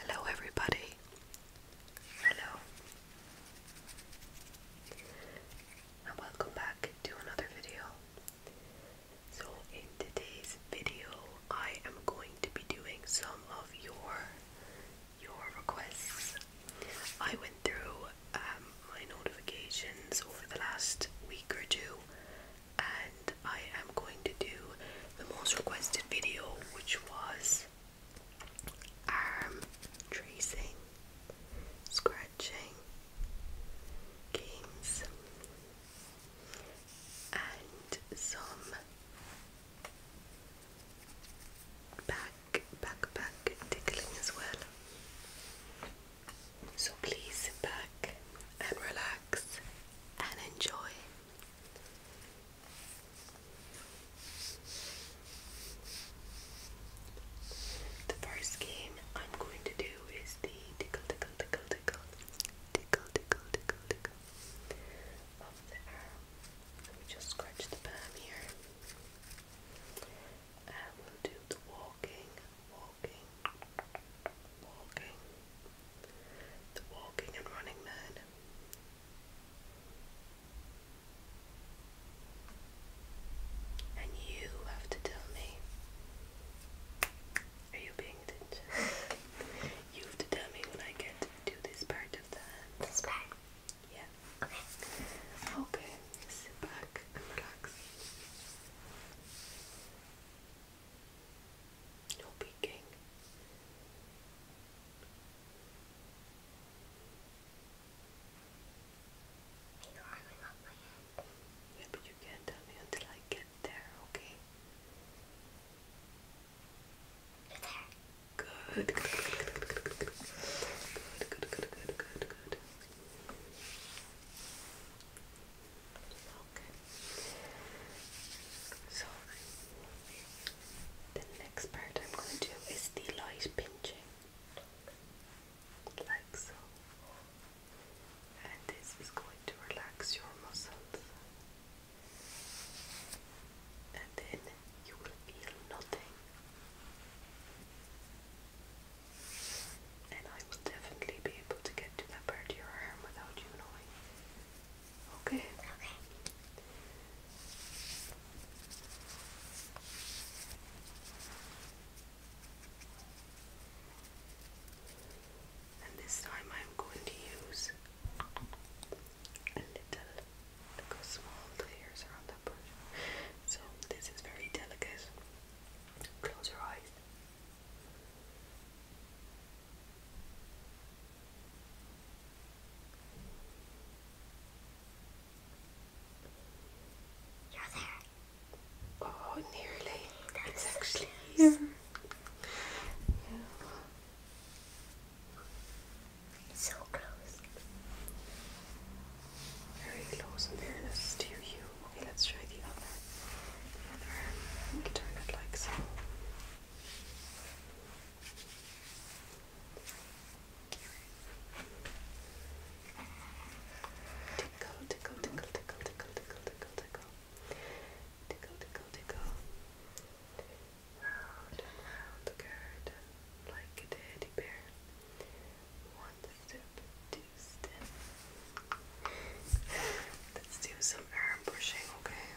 Hello, everybody. Hello, and welcome back to another video. So, in today's video, I am going to be doing some of your your requests. I went through um, my notifications over the last week or two, and I am going to do the most requested video, which was arm um, tracing, scratching, games, and some back, back, back tickling as well. So please sit back and relax and enjoy. The first game I'm going to do is the tickle, tickle, tickle, tickle, tickle, tickle, tickle, tickle of the Let me just scratch the palm here. And we'll do the walking, walking, walking, the Walking and Running Man. And you have to tell me. Are you paying attention? you have to tell me when I get to this part of the hand. This Yeah. Okay. Okay. Sit back relax. Yeah, but you can't tell me until I get there, okay? are there. Good. good. So the next part I'm going to do is the light pinching, like so. And this is going to relax your muscles. And then you will feel nothing. And I will definitely be able to get to that part of your arm without you knowing. Okay. And this time I'm going to use a little, like small layers around that brush. So this is very delicate. Close your eyes. You're there. Oh, nearly. That it's actually here. So close. Very close in fairness to you. Okay, let's try the other. The other arm. You turn it like so. Tickle, tickle, tickle, tickle, tickle, tickle, tickle, tickle. Tickle, tickle, tickle. Round and round the curd, like a teddy bear. One step, two step. Let's do some arm pushing, okay?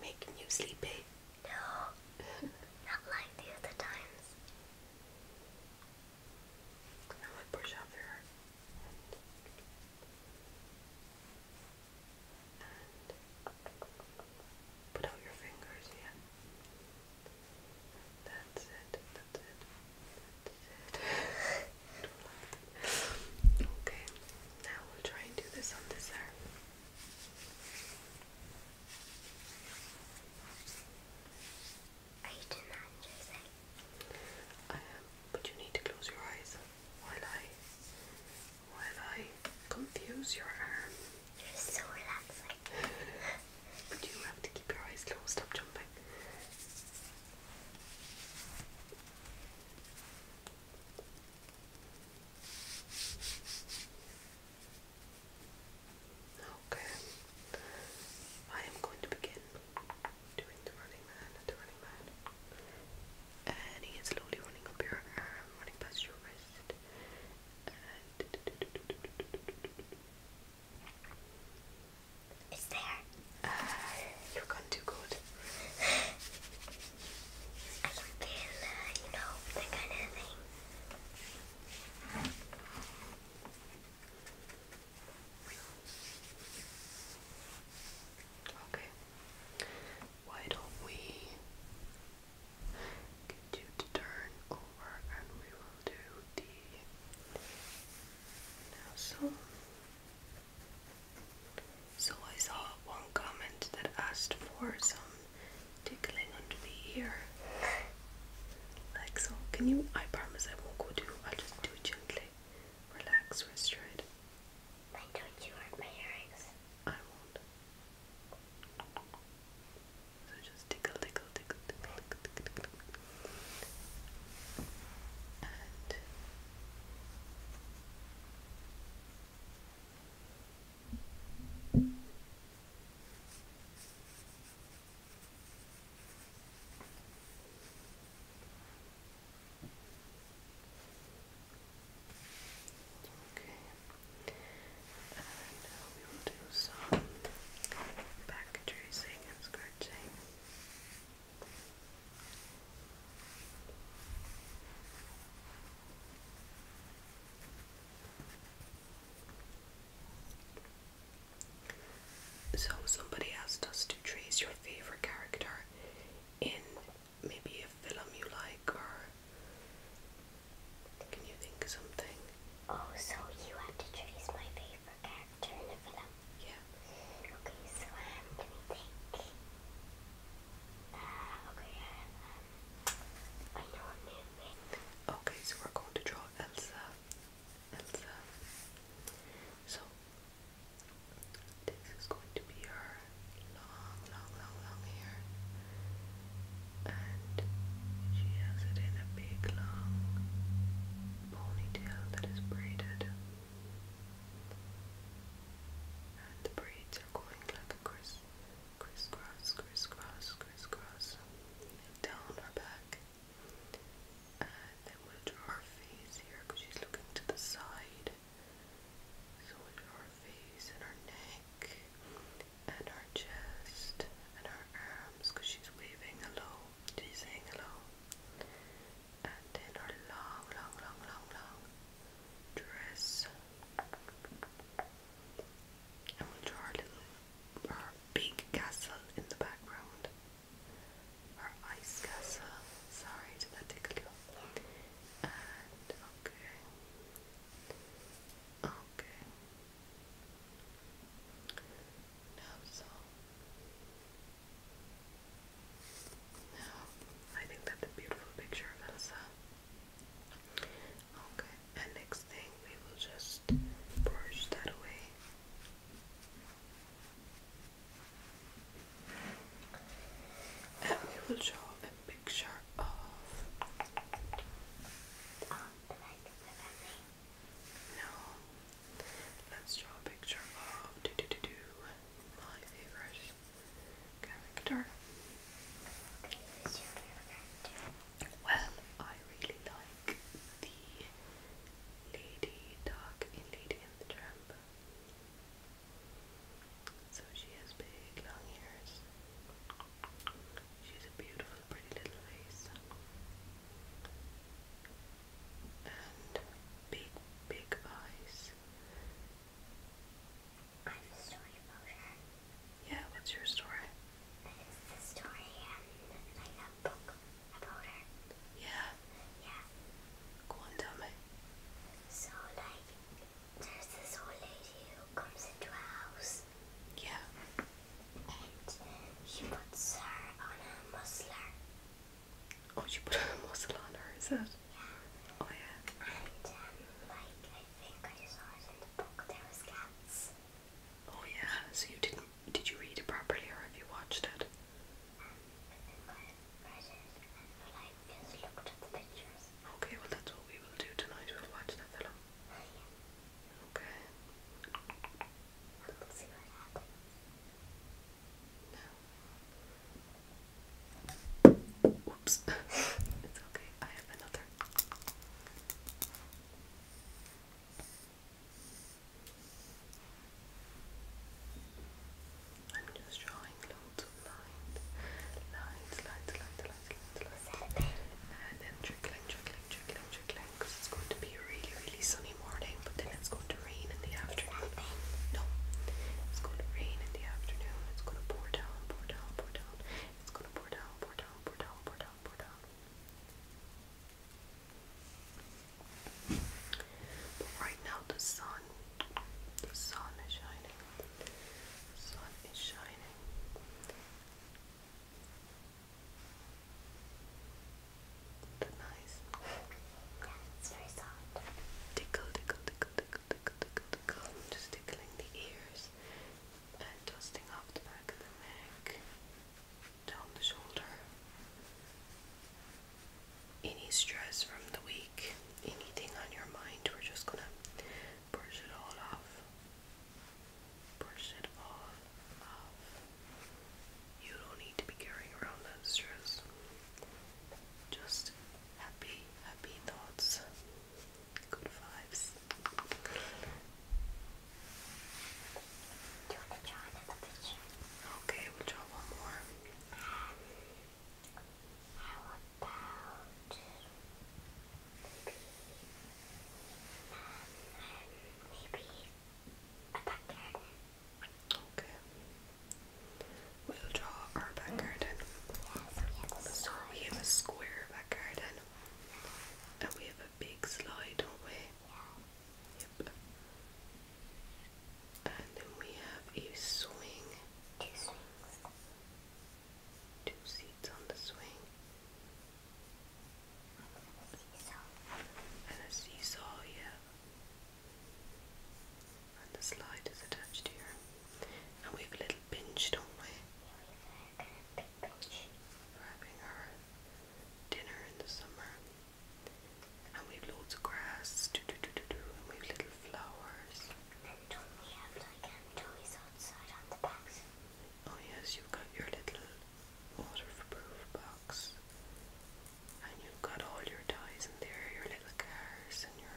Making you sleepy? No. Not like the other times. Now off your hair. And put out your fingers, yeah. That's it, that's it, that's it okay, now we'll try and do this on this arm. I am, um, but you need to close your eyes while I while I confuse your arm. You're so relaxing. but you have to keep your eyes closed, stop jumping. Okay, I am going to begin doing the running man, the running man, and he is slowly running up your arm, running past your wrist, and. there. Uh, you can do good. I can feel, you know, that kind of thing. Okay. Why don't we get you to turn over and we will do the now so I saw one comment that asked for some tickling under the ear. Like so. Can you? I promise I won't go do. I'll just do it gently. Relax, rest your head. Why don't you hurt my earrings? I won't. So just tickle, tickle, tickle, tickle, tickle, tickle, tickle. And Okay. And now uh, we will do some back tracing and scratching. So, somebody asked us to trace your favorite character in maybe a film you like, or can you think of something? Oh, so you have to trace my favorite character in a film? Yeah. Okay, so um, let me think. Uh, okay, um, I know a new thing. Okay, so we're going to draw Elsa. Elsa. So, this is going to be her long, long, long, long hair. And she has it in a big, long ponytail that is braided and the braids are going like a criss, crisscross, crisscross, crisscross down her back. And then we'll draw her face here because she's looking to the side. So we'll draw her face and her neck and her chest and her arms because she's waving hello. She's saying hello and then her long, long, long, long, long dress. And we'll draw her little, her big castle in the background. Her ice castle. Sorry, did that tickle you? And okay, okay. Now so. Now, I think that's a beautiful picture of Elsa. Okay, and next thing we will just brush that away. And we will draw a picture of No. Let's draw a picture of do do do do my favorite well, I really like the lady dog in Lady and the Tramp. So she has big long ears. She's a beautiful, pretty little face. And big, big eyes. I have a story about her. Yeah, what's your story? It's the story and like a book about her. Yeah. Yeah. Go on, tell me. So like there's this old lady who comes into a house. Yeah. And she puts her on a muzzler. Oh, she put a muzzle on her, is it? Oh yeah. And like I think I saw in the book there was cats. Oh yeah. So you didn't did you read it properly or have you watched it? Okay, well that's what we will do tonight. We'll watch that film. Okay. Oops. it's okay. I have another. I'm just drawing loads of Lines, lines, lines, lines, lines, lines. And then trickling, trickling, trickling, trickling. Because it's going to be a really, really sunny morning, but then it's going to rain in the afternoon. No. It's going to rain in the afternoon. It's going to pour down, pour down, pour down. It's going to pour down, pour down, pour down, pour down, pour down. right now the sun, the sun is shining. The sun is shining. That's nice. Yeah, it's very soft. Tickle, tickle, tickle, tickle, tickle, tickle, just the ears dusting off the back of the neck, down the shoulder. Any stress from the week, anything on your mind, we're just gonna brush it all off. Brush it off. You don't need to be carrying around that stress. Just happy, happy thoughts, good vibes. Okay, we draw one more. maybe, um, maybe a duck Okay. We'll draw our back garden. So we have a square back garden. And we have a big slide, don't we? And then we have a swing. Two seats on the swing. And a seesaw, yeah and the slide is attached here. And we've a little pinch, don't we? having our dinner in the summer. And we've loads of grass, and we've little flowers. Um, on Oh yes, you've got your little waterproof box. And you've got all your ties in there, your little cars and your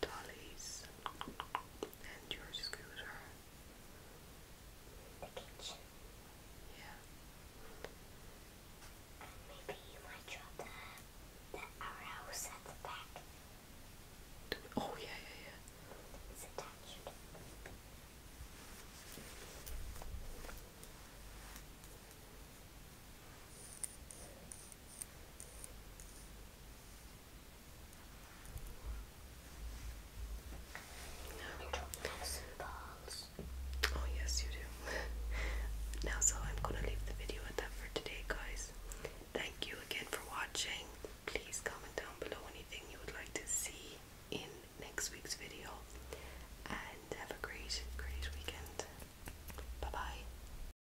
dollies, and your scooter. Yeah. maybe you might draw the, the at the back. oh, yeah, yeah, yeah. It's attached. Oh yes, you do. now, so I'm gonna leave the video at that for today, guys. Thank you again for watching. Please comment down below anything you would like to see in next week's video, and have a great, great weekend. Bye bye.